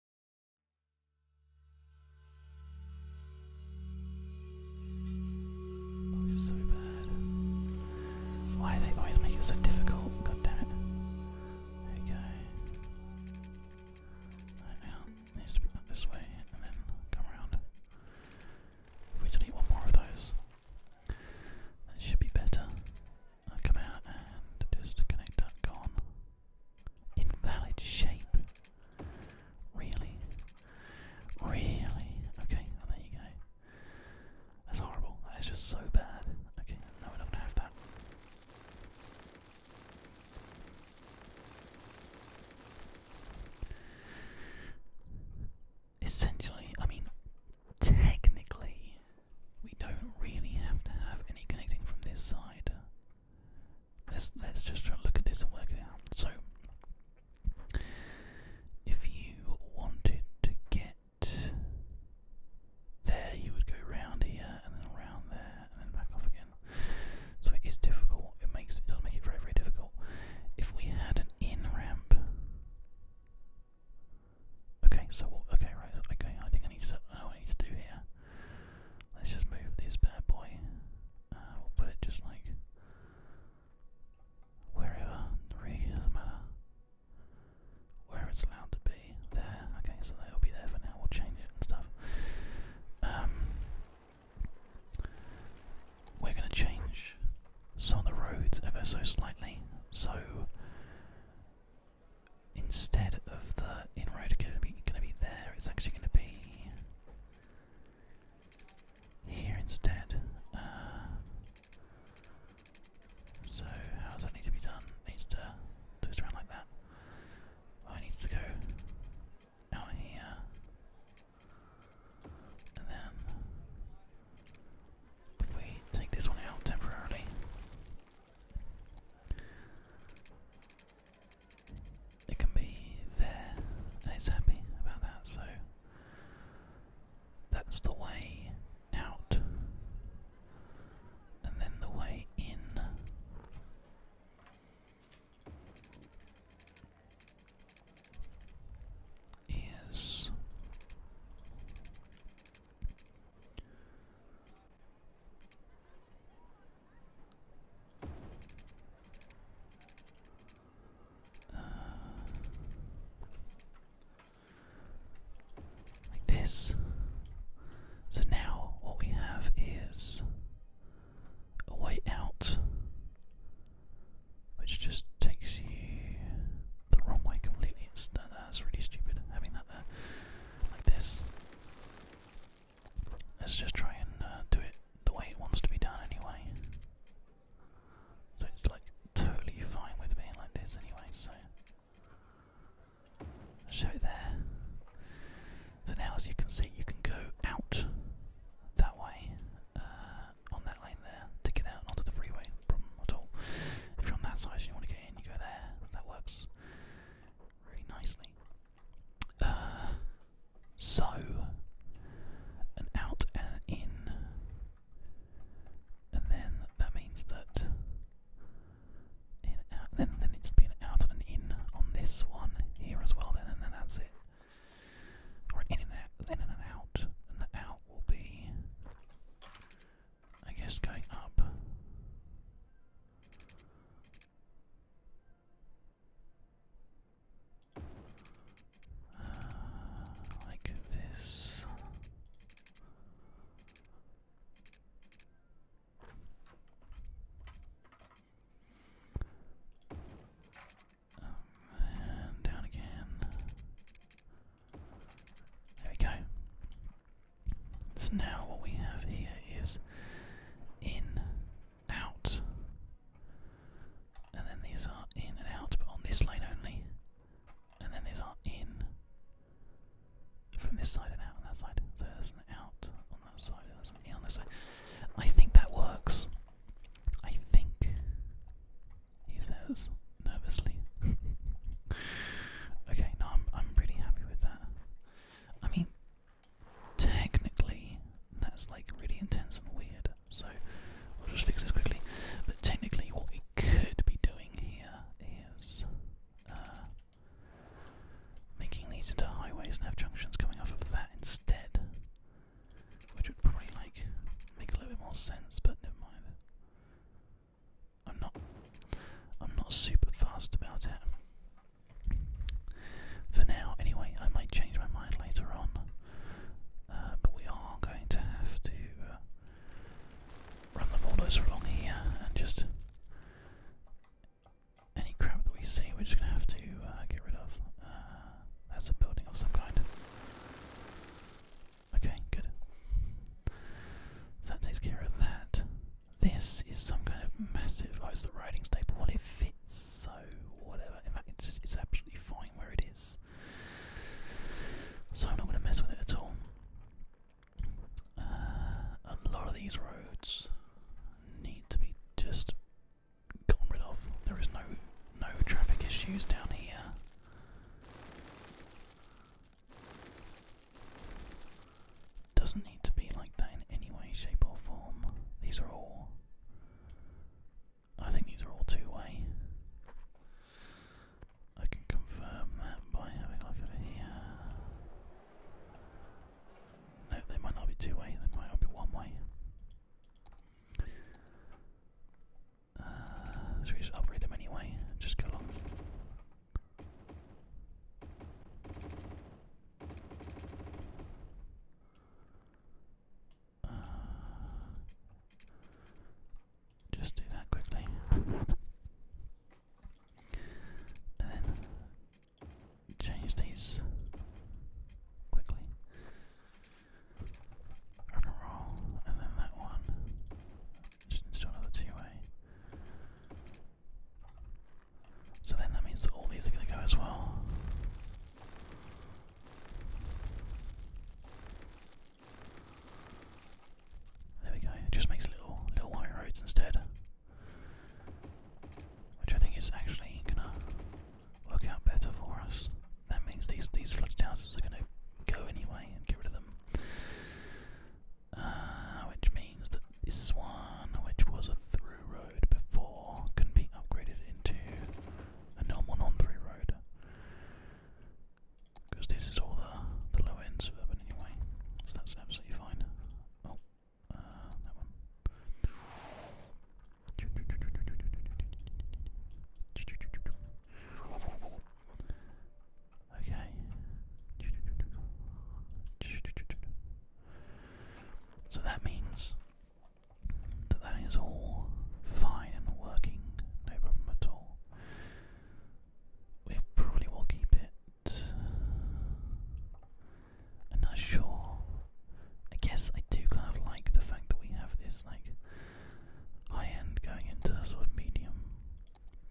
Oh, so bad. Why do they always make it so difficult? God damn it. There you go. Right now, needs to be up this way and then come around. If we delete one more of those, that should be better. come out and just connect that con. Invalid shape. Really? Really? Okay, there you go. That's horrible. That is just so bad. Okay, no, we're not gonna have that. Essentially, I mean, technically, we don't really have to have any connecting from this side. Let's let's just try and look at this and work it out. So, if you wanted to get there, you would go round here and then around there and then back off again. So it is difficult. It makes it does make it very very difficult. If we had an in ramp, okay. So Okay, right. Okay, I think I need to. I need to do here. Let's just move this bad boy. Uh, we'll put it just like wherever. Where it's allowed to be. There. Okay, so that'll be there for now. We'll change it and stuff. Um, we're going to change some of the roads ever so slightly. So instead of the inroad going to be going to be there, it's actually going to be here instead. Uh, so how does that need to be done? needs to twist around like that. Oh, needs to go out here, and then if we take this one out temporarily it can be there and it's happy about that, so that's the way out. And then the way in. Is uh, like this. So now what we have is a way out, which just takes you the wrong way completely. It's, that's really stupid having that there. Like this. Let's just try and uh, do it the way it wants to be done anyway. So it's like totally fine with being like this anyway, so. show it there. So now as you can see you can go out that way, uh, on that lane there, to get out onto the freeway, problem at all. If you're on that side and you want to get in, you go there, that works really nicely so, an out and an in. And then that means that in, out, then then it's out and an in on this one here as well. Then and then that's it. Or in and out, then and an out, and the out will be, I guess, going up. Uh, like this. Um, and down again. There we go. So now what we have here is in, out, and then these are in and out, but on this lane only, and then these are in from this side and out on that side. So there's an out on that side, there's an in on this side. I think that works. I think, he says nervously. okay, no, I'm, I'm pretty happy with that. I mean, technically that's like really intense and weird. So we'll just fix this quickly. But technically, what we could be doing here is uh, making these into highways and have junctions coming off of that instead, which would probably like make a little bit more sense. But never mind. I'm not. I'm not super fast about it for now, anyway, I might change my mind later on. Uh, but we are going to have to uh, run the bulldozer along here and just any crap that we see, we're just going to have to uh, get rid of. that's a building of some kind. Okay, good. that takes care of that. This is some kind of massive. Oh, it's the riding staple. Well, it fits so whatever. In fact, it's absolutely fine where it is. So I'm not going to mess with it at all. Uh, a lot of these roads need to be just gotten rid of. There is no no traffic issues down here. Doesn't need to be like that in any way, shape, or form. These are all. I think these are all two way. I can confirm that by having a look over here. No, they might not be two way, they might not be one way. Uh, we just upgrade them anyway, just go along. Uh, just do that quickly. And then change these quickly. Rock and roll, and then that one. Just another two way. So then that means that all these are going to go as well. There we go. It just makes little little white roads instead, which I think is actually going to work out better for us. That means these these flooded houses are going to go anyway and get rid of them. Uh, which means that this one, which was a through road before, can be upgraded into a normal non 3 road. Because this is all the, the low-end suburban anyway, so that's absolutely fine. Oh, uh, that one. Okay. So that means that that is all fine and working, no problem at all. We probably will keep it. I'm not sure. I guess I do kind of like the fact that we have this like high end going into sort of medium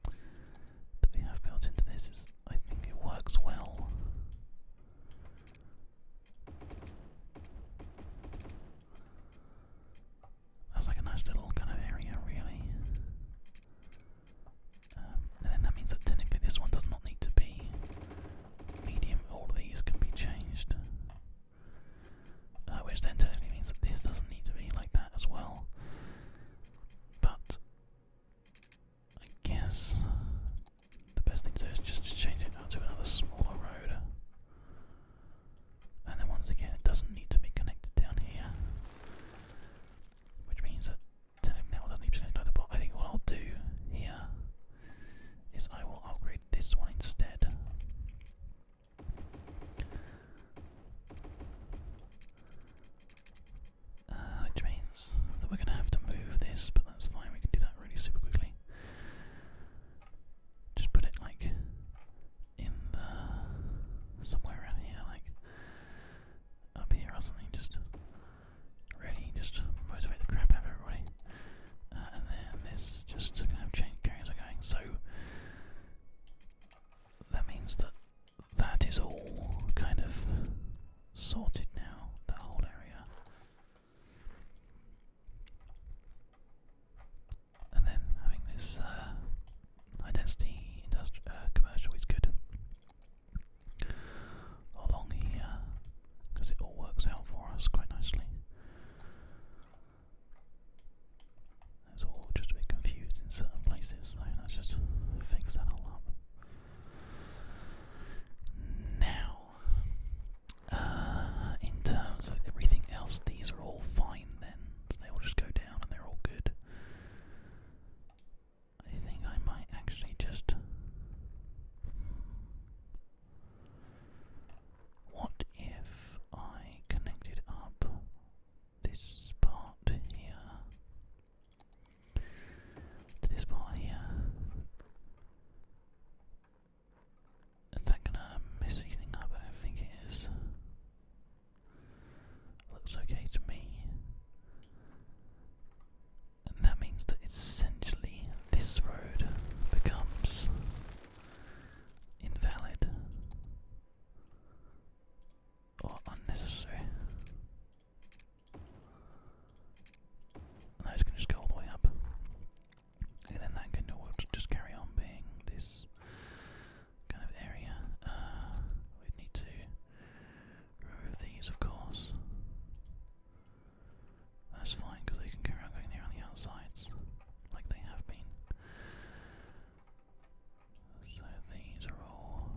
that we have built into this. I think it works well. That's like a nice little kind of area, really. Um, and then that means that technically this one does not need to be medium. All these can be changed, uh, which then technically means that this doesn't need to be like that as well. But I guess the best thing to do is just change it out to another smaller road. And then once again, it doesn't need to be connected down here. Which means that technically now it doesn't need to connect either, but I think what I'll do here is I will upgrade this one instead. Uh, which means that we're going to have to move this, but that's fine, we can do that really super quickly. Just put it like in somewhere around here, like up here or something, just ready, just motivate the crap out of everybody. Uh, and then this just kind of change carries are going. So that means that that is all kind of sorted now, that whole area. And then having this uh, uh commercial is good along here because it all works out for us quite nicely. It's all just a bit confused in certain places, so let just fix that all up. Now, uh, in terms of everything else, these are all fine then, they will just go down and they're all good. I think I might actually just. What if I connected up this part here to this part here. Is that gonna mess anything I don't think it is. Looks okay to me. And that means that essentially this road becomes invalid or unnecessary those can just go all the way up. And then that can just carry on being this kind of area. Uh, we need to remove these, of course. That's fine, because they can carry on going there on the outsides, like they have been. So these are all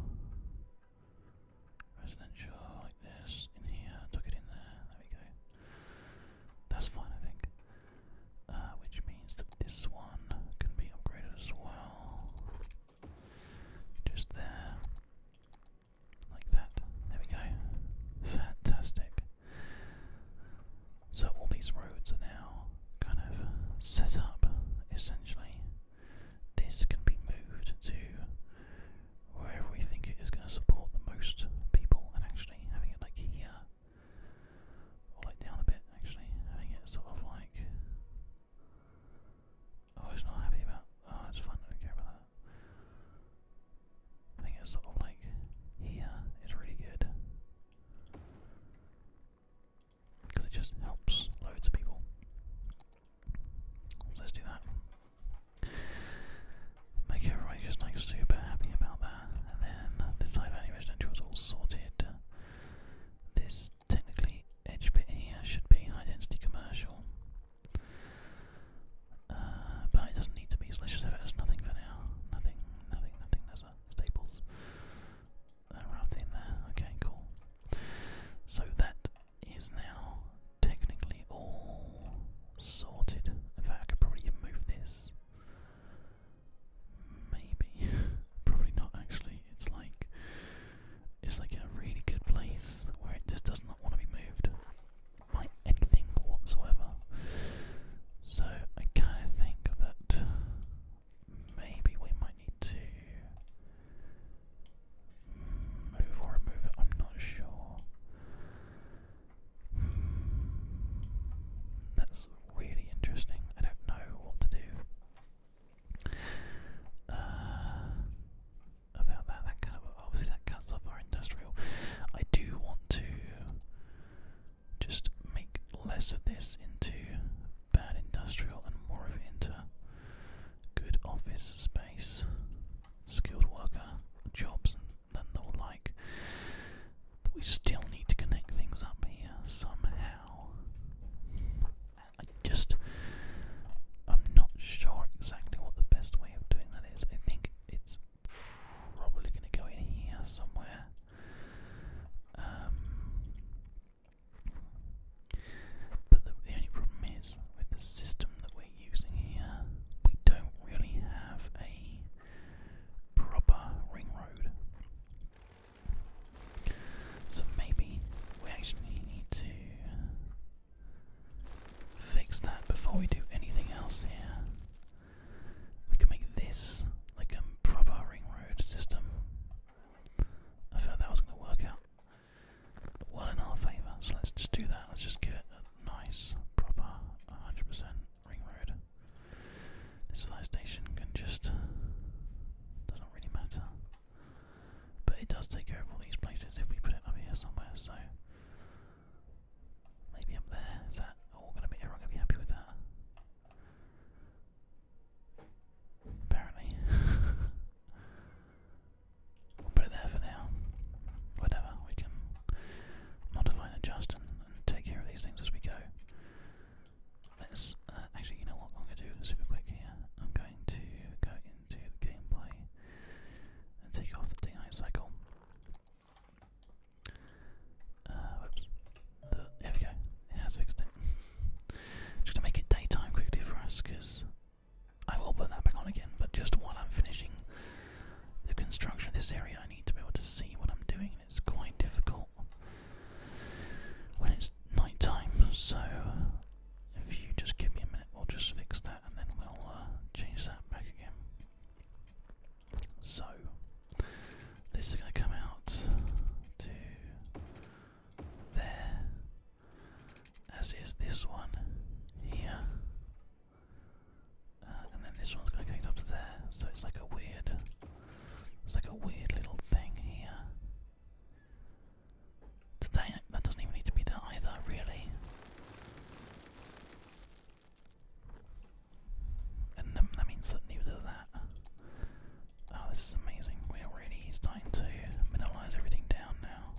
Residential like this, in here, tuck it in there, there we go. That's fine, I think. Uh, which means that this one can be upgraded as well. Just there. Like that. There we go. Fantastic. So all these roads are now kind of set up, essentially, this can be moved to wherever we think it is going to support the most people, and actually having it like here, or like down a bit, actually, having it sort of like. Oh, it's not happy about. Oh, it's fun, I don't care about that. I think it's sort of like here is really good because it just helps loads of people. let's do that. Make everybody just super happy about that, and then this high value residential is all sorted. This technically edge bit here should be high density commercial, uh, but it doesn't need to be. So let's just have it as nothing for now. Nothing, nothing, nothing. There's a Staples. Uh, wrapped in there. Okay, cool. So that is now technically all sorted. In I could probably move this. Maybe, probably not. Actually, it's like it's like a really good place where it just does not want to be moved by anything whatsoever. So I kind of think that maybe we might need to Move or remove it, I'm not sure. Hmm, that's really interesting. I don't know what to do uh, about that. That kind of obviously that cuts off our industrial. I do want to just make less of this into bad industrial and more of it into good office space, skilled worker jobs, and then the like. But we still need to connect things up here somehow. I just, I'm not sure exactly what the best way of doing that is. I think it's probably going to go in here somewhere. Um, but the, only problem is, with the system that we're using here, we don't really have a proper ring road. So maybe we actually need to fix that before we do anything else here. We can make this like a proper ring road system. I felt that was going to work out well in our favour. So let's just do that. Let's just give a nice, proper 100% ring road. This fire station can just. doesn't really matter. But it does take care of all these places if we put it up here somewhere, so. Maybe up there. Is that all going to be. Everyone going to be happy with that? Apparently. We'll put it there for now. Whatever, we can modify and adjust and, take care of these things as we go. Let's uh, actually, you know what? I'm going to do super quick here. I'm going to go into the gameplay and take off the daylight cycle. Uh, whoops. there we go. It has fixed it. Just to make it daytime quickly for us, because I will put that back on again, but just while I'm finishing the construction of this area, I need to be able to see what I'm doing, and it's quite difficult when it's night time. So, if you just give me a minute, we'll just fix that and then we'll uh, change that back again. So, this is going to come out to there, as is this one here. Uh, and then this one's going to connect up to there, so it's like a weird, it's like a weird little thing here. that doesn't even need to be there either, really. And um, that means that neither of that. Oh, this is amazing. We're already starting to minimalise everything down now now.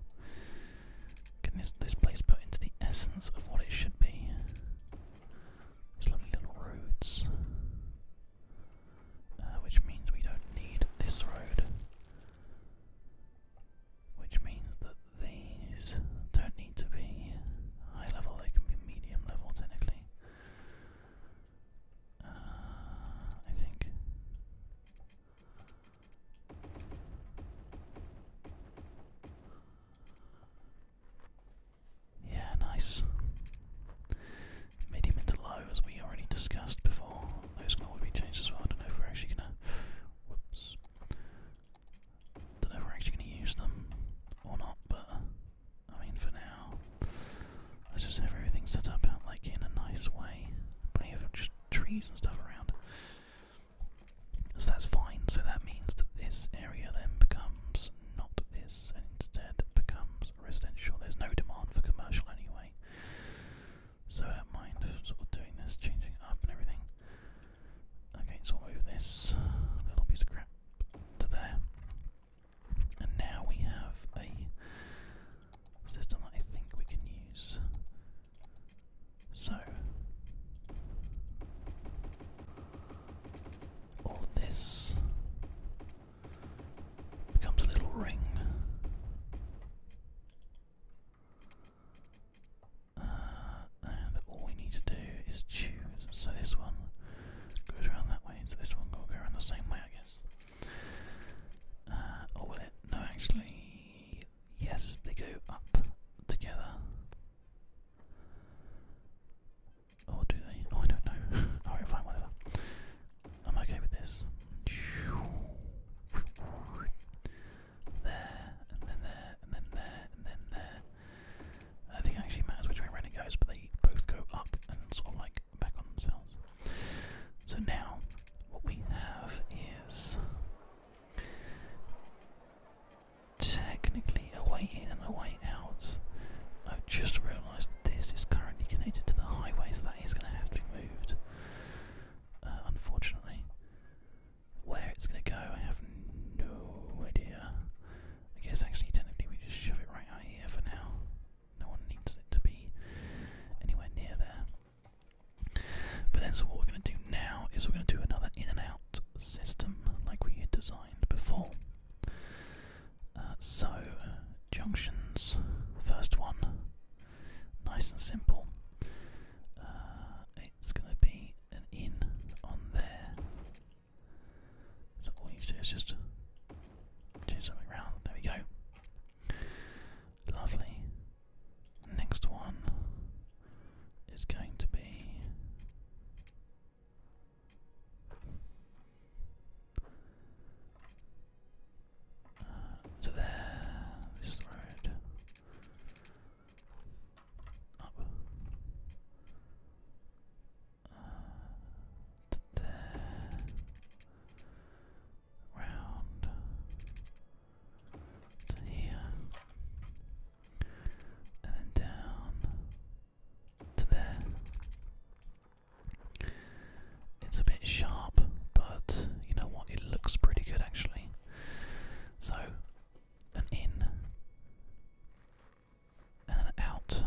this, this place put into the essence of what it should be. These lovely little roads. Uh, which means we don't need this road. Which means that these don't need to be high level, they can be medium level technically. Uh, I think. Yeah, nice. Medium into low, as we already discussed before. Those can all be changed as well. I don't know if we're actually gonna. Whoops. Don't know if we're actually gonna use them or not, but I mean, for now, Let's just have everything set up like in a nice way. Plenty of just trees and stuff around. So that's fine. So that means that this area then becomes not this, and instead becomes residential. There's no demand for commercial anyway. So I don't mind sort of doing this, changing up and everything. Okay, so I'll move this little piece of crap to there. And now we have a system I think we can use. So, all this becomes a little ring. Uh, and all we need to do is choose. So this one goes around that way, so this one will go around the same way, I guess. Uh, oh, or will it? No, actually, yes, they go up together. Or do they? Oh, I don't know. Alright, fine, whatever. I'm okay with this. There, and then there, and then there, and then there. I think it actually matters which way around goes, but they both go up and sort of like back on themselves. So now, what we have is technically a way in and a way out. I've just realised that this is currently connected to the highway, so that is going to have to be moved. Uh, unfortunately, where it's going to go, I have no idea. I guess actually, technically, we just shove it right out here for now. No one needs it to be anywhere near there. But then, so what we're going to do now is we're going to do another in and out system like we had designed before. Uh, so, junctions, first one, nice and simple. Uh, it's going to be an in on there. So all you do is just change something around. There we go. Lovely. Next one is going to be uh, to there. This road. Up. Uh, to there round to here, and then down to there. It's a bit sharp, but you know what? It looks pretty good actually. So, an in, and then an out,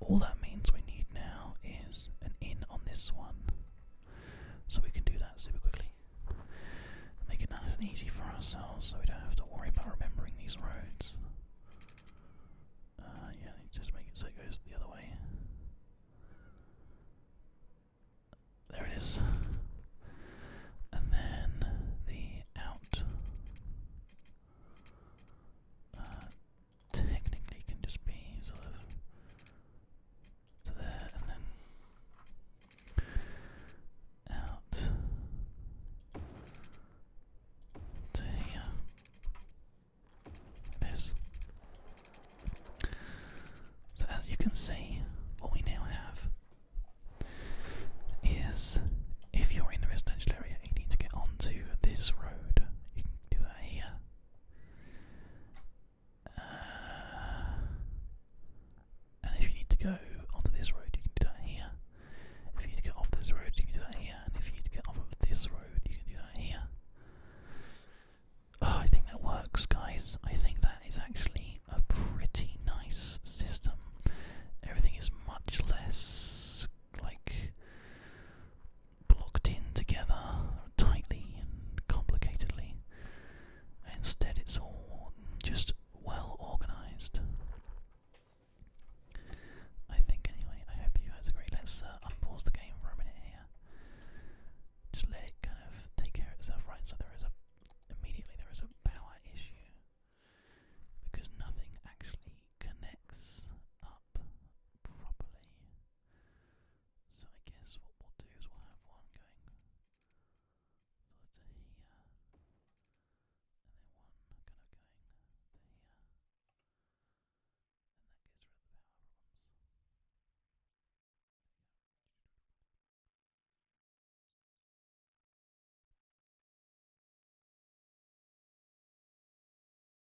all that means we need now is an in on this one. So we can do that super quickly. Make it nice and easy for ourselves so we don't have to worry about remembering these roads. Uh, yeah, just make it so it goes the other way. There it is. And then the out. Uh, technically can just be sort of there and then out to here. this. So as you can see, what we now have is if you're in the residential area, you need to get onto this road. You can do that here, uh, and if you need to go onto this road, you can do that here. If you need to get off this road, you can do that here. And if you need to get off this road, you can do that here. Oh, I think that works, guys. I think that is actually a pretty nice system. Everything is much less like blocked in together tightly and complicatedly. instead, it's all just well organized. I think, anyway. I hope you guys agree. Let's uh, unpause the game for a minute here. Just let it kind of take care of itself, right? So there is a immediately there is a power issue because nothing actually connects up properly. So I guess what we'll do is we'll have one going sort of to here, and then one kind of going to here, and that gets rid of the power problems.